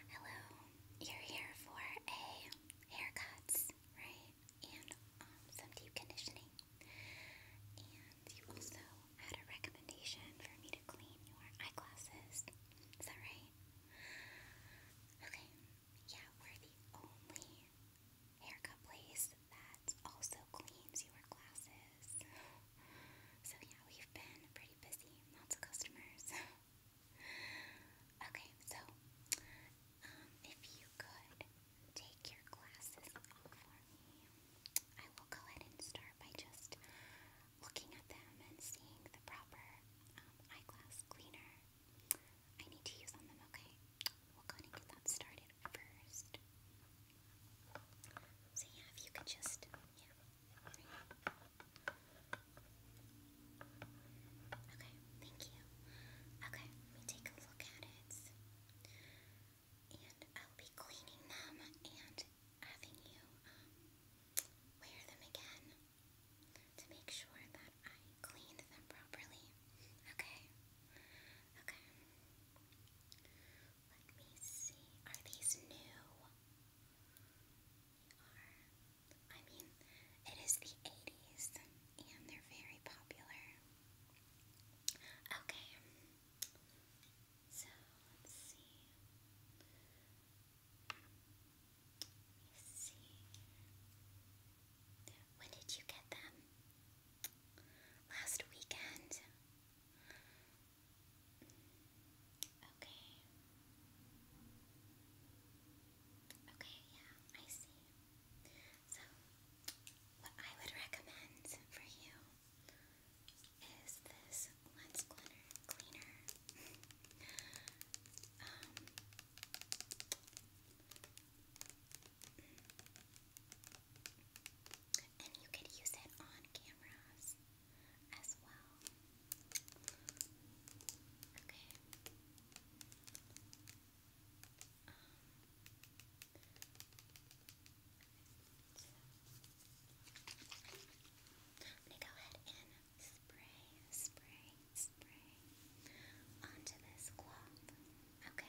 Hello, you're here for a haircuts, right? And um, some deep conditioning. And you also had a recommendation for me to clean your eyeglasses. Is that right? Okay, yeah, we're the only haircut place that also cleans your glasses. So, yeah, we've been pretty busy, lots of customers. Okay, so um, if you could take your glasses off for me, I will go ahead and start by just looking at them and seeing the proper um, eyeglass cleaner I need to use on them, okay? We'll go ahead and get that started first. So yeah, if you could just, yeah, Okay, thank you. Okay, let me take a look at it. And I'll be cleaning them and having you um, wear them again to make sure that I cleaned them properly. Okay? Okay. Let me see. Are these new? I mean, it is the 80s and they're very popular. Okay, so let's see. Let me see. When did you get them? Last weekend. Okay. Okay, yeah, I see. So, what I would recommend for you is this lens cleaner. cleaner. Um, and you could use it on cameras as well. go ahead and spray, spray, spray onto this cloth. Okay.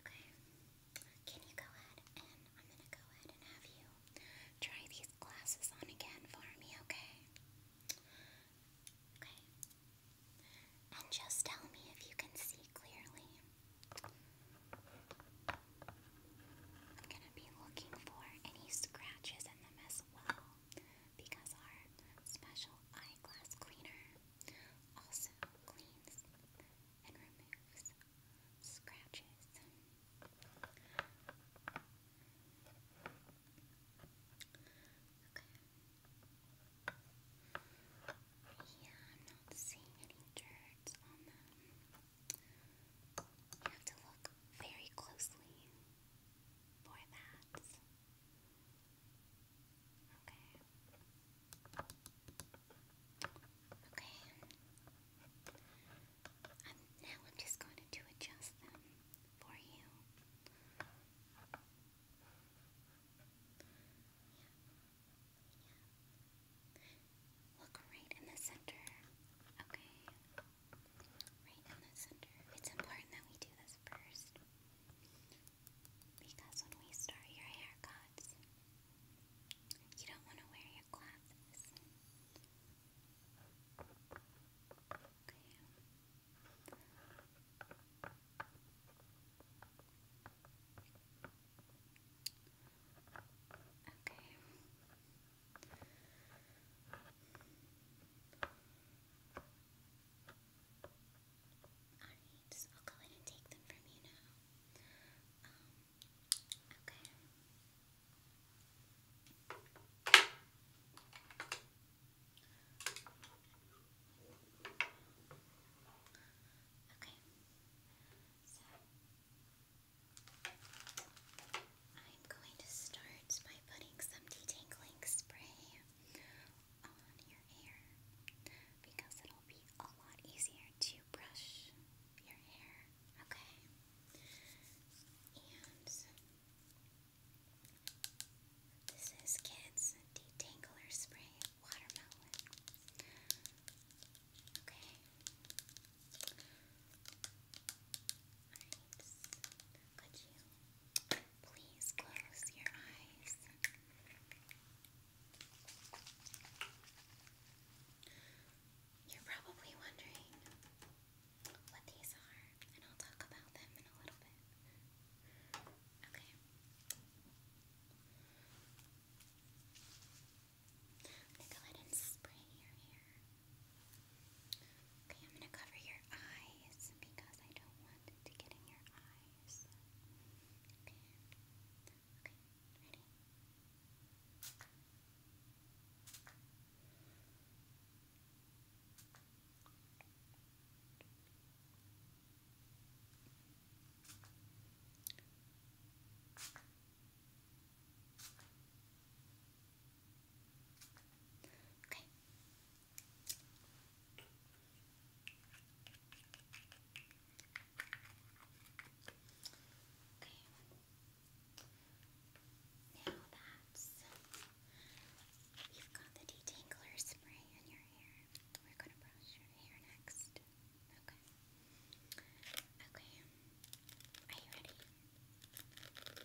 Okay, can you go ahead and I'm going to go ahead and have you try these glasses on again for me, okay? Okay, and just tell me if you can see clearly. I'm gonna be looking for any scratches in them as well because our special eyeglass cleaner also cleans and removes scratches. Okay. Yeah, I'm not seeing any dirt on them. You have to look very closely for that. Okay. Okay. now I'm just going to adjust them for you. Look right in the center, okay? Right in the center. It's important that we do this first. Because when we start your haircuts, you don't want to wear your glasses. Okay. Okay. Alright, I'll go ahead and take them from you now. Okay. Okay. So I'm going to start by putting some detangling spray on your hair because it'll be a lot easier to brush your hair. Okay. And this is Kids Detangler Spray Watermelon. Okay. Alright. Could you please close your eyes? You're probably wondering what these are, and I'll talk about them in a little bit. Okay. I'm go ahead and spray your hair. Okay, I'm gonna cover your eyes because I don't want it to get in your eyes. Okay. ready? Okay. Okay. Now that's you've got the detangler spray in your hair. We're gonna brush your hair next. Okay. Okay. Are you ready? Okay.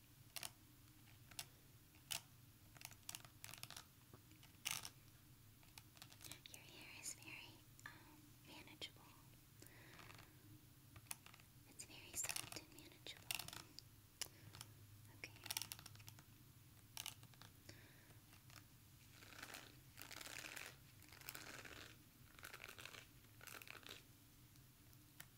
Your hair is very uh, manageable. It's very soft and manageable. Okay.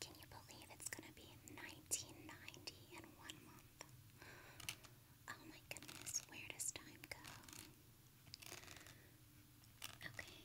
Can you believe it's gonna be 1990 in one month? Oh my goodness, where does time go? Okay.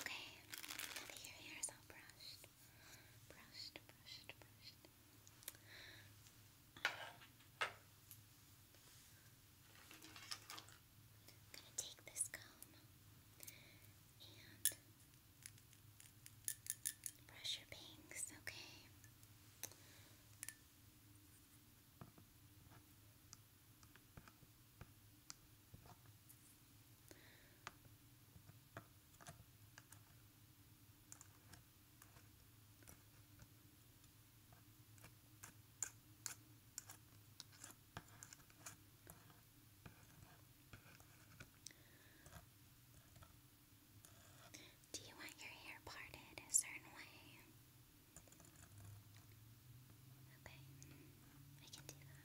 Okay, now hair is all brushed, brushed, brushed, brushed. gonna take this comb and brush your bangs, Okay. Do you want your hair parted a certain way? Okay, I can do that.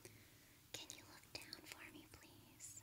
Okay. Can you look down for me, please?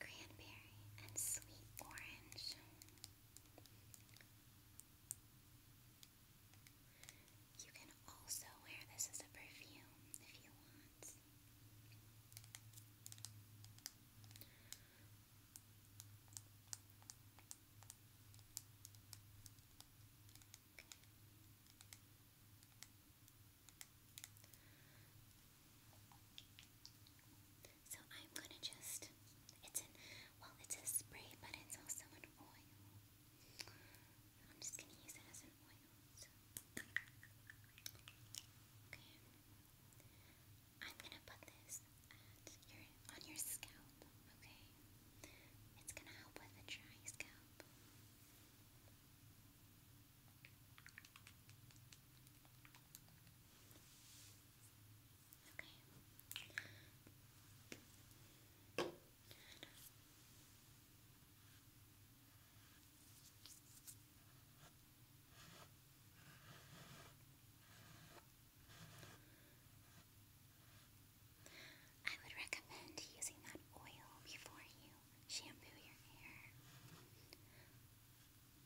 Cranberry and sweet orange. You can also wear this as a perfume if you want. So I'm gonna just, it's an, well it's a spray but it's also an oil. I'm just gonna use it as an oil. Okay. I'm gonna put this on your scalp, okay? It's gonna help with a dry scalp. Okay. I would recommend using that oil before you shampoo your hair.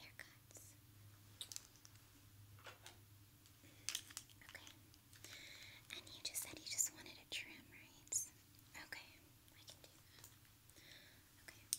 haircuts. Okay. And you just said you just wanted a trim, right? Okay, I can do Okay.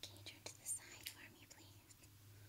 Can you to the side for me, please? Thanks.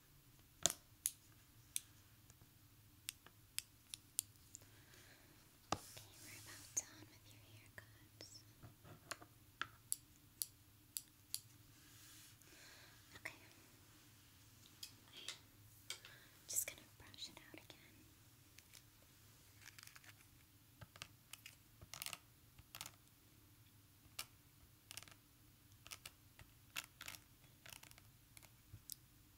Okay, we're about done with your haircuts. Okay. I'm just gonna brush it out again.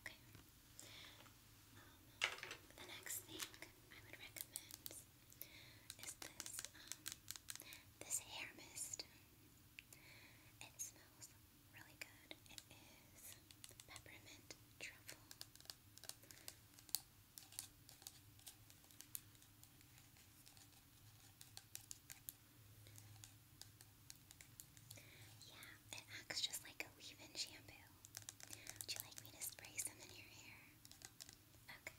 Okay. Um, the next thing I would recommend is this, um, this hair mist. It smells really good. It is peppermint truffle. Yeah, it acts just like a leave-in shampoo. Would you like me to spray some in your hair? Okay.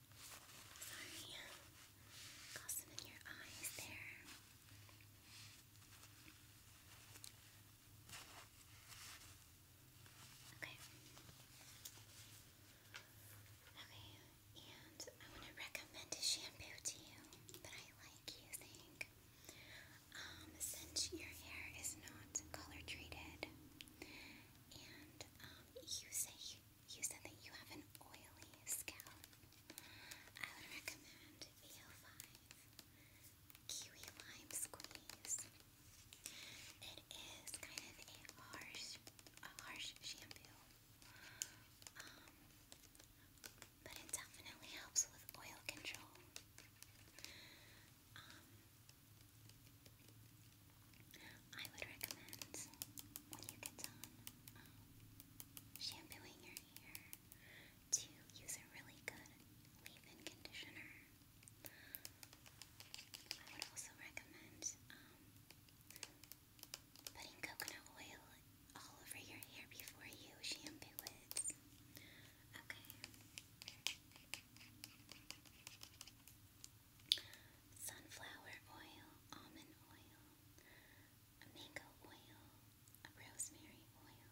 Sorry. Got some in your eyes there. Okay. Okay, and I want to recommend a shampoo to you that I like using. Um, since your hair is not color treated, and um, you say you said that you have an oily scalp. I would recommend VO5 Kiwi Lime Squeeze. It is kind of a harsh, a harsh shampoo, um, but it definitely helps with oil control. Um, I would recommend when you get done um, shampooing your hair to use a really good leave-in conditioner. I would also recommend um, putting coconut oil all over your hair before you shampoo it. Okay. Sunflower oil, almond oil, a mango oil, a rosemary oil,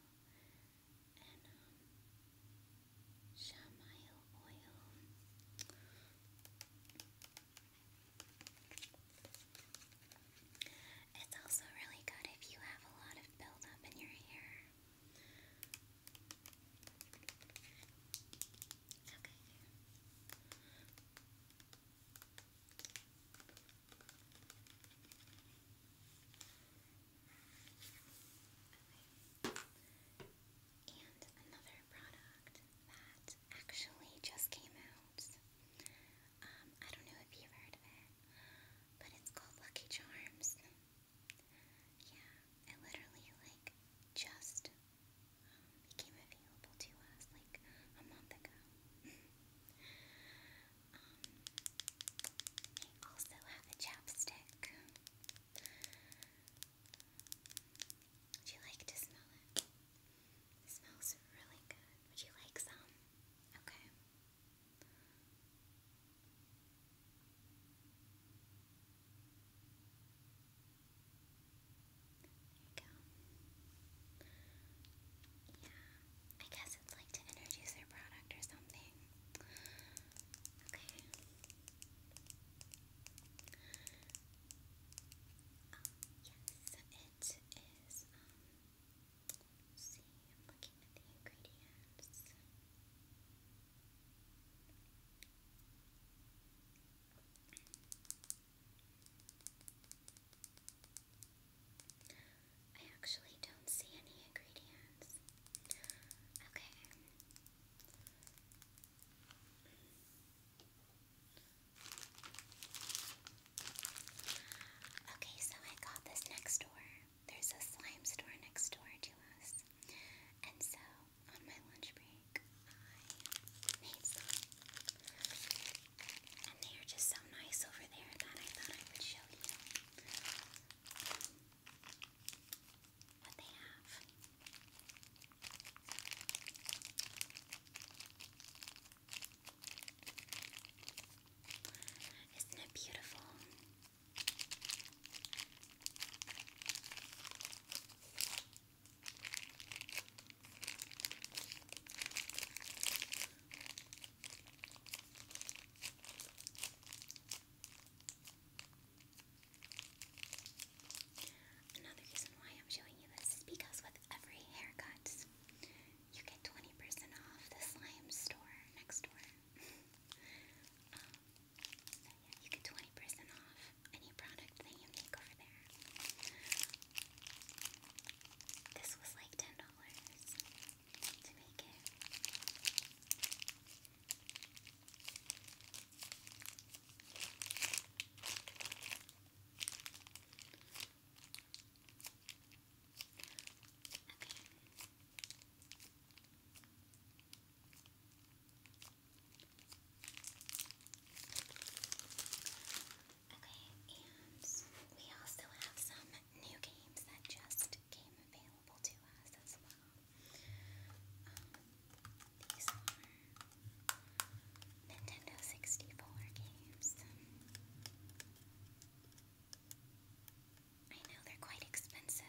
and um, chamomile oil. It's also really good if you have a lot of buildup in your hair. And another product that actually just came out. Um, I don't know if you've heard of it, but it's called Lucky Charms. Yeah, it literally like just um, became available to us like a month ago. um, I also have a chapstick. Would you like to smell It smells really good. Would you like some? Okay. There you Yeah, I guess it's like to introduce their product or something. Okay. Um, yes, it is, um, see, I'm looking at the ingredients. I actually don't see any ingredients. Okay. Okay, so I got this next door. There's a slime store next door to us. And so on my lunch break, I made some. And they are just so nice over there that I thought I would show you what they have. Isn't it beautiful? Another reason why I'm showing you this is because with every haircut, you get 20% off the slime store next door. um, you get 20% off any product that you make over there. This was like ten dollars to make it. Okay. Okay, and we also have some new games that just came available to us as well. Um, these are Nintendo 64 games. I know they're quite expensive.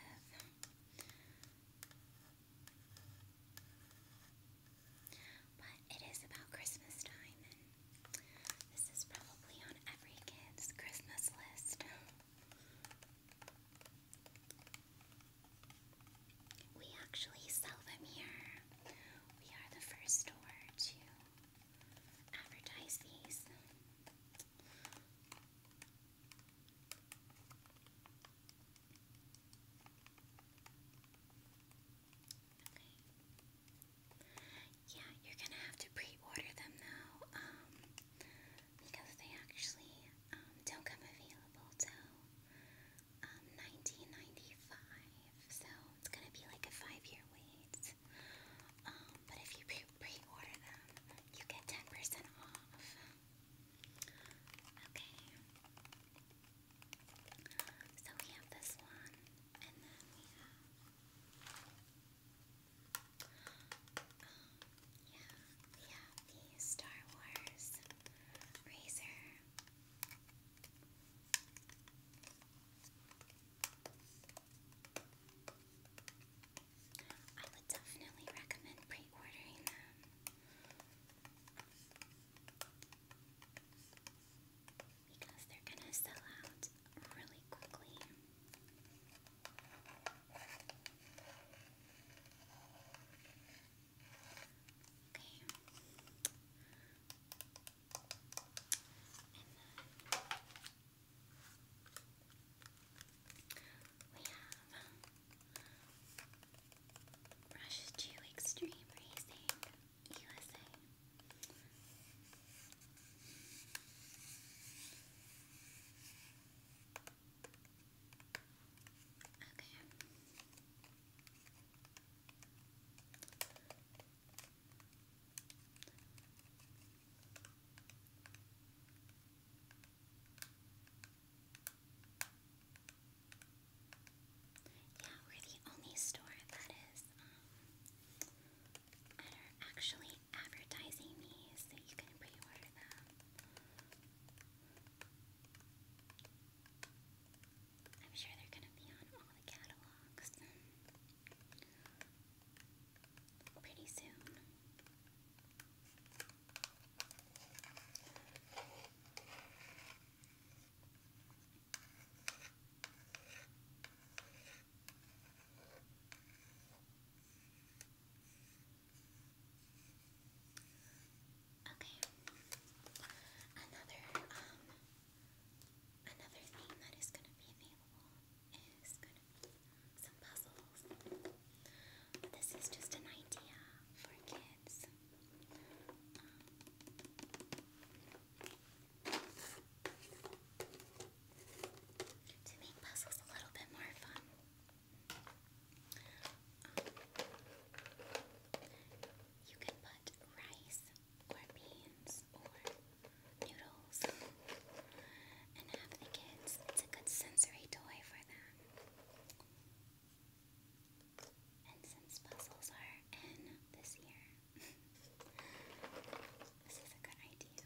But it is about Christmas time, and this is probably on every kid's Christmas list. We actually sell them here. We are the first store to advertise these. Yeah, you're gonna have to pre-order them though, um, because they actually um, don't come available till um, 1995. So it's gonna be like a five-year wait. Um, but if you pre-order them, you get 10% off. Okay. So we have this one, and then we have. Um, Star Wars razor. I would definitely recommend pre ordering them because they're gonna sell out really quickly. Okay. we have Rush to Extreme Racing USA. Yeah, we're the only store that is um, that are actually advertising these so you can pre order them. I'm sure they're going to be on all the catalogs pretty soon. Okay. Another um another thing that is gonna be available is gonna be some puzzles. This is just an idea for kids. Um, to make puzzles a little bit more fun. you can put rice or beans or noodles and have the kids. It's a good sensory toy for them. And since puzzles are in this year, this is a good idea.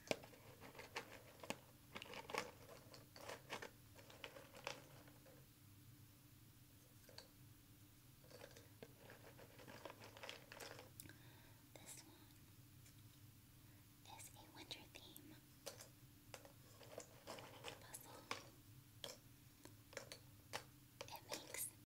This one is a winter theme puzzle. It makes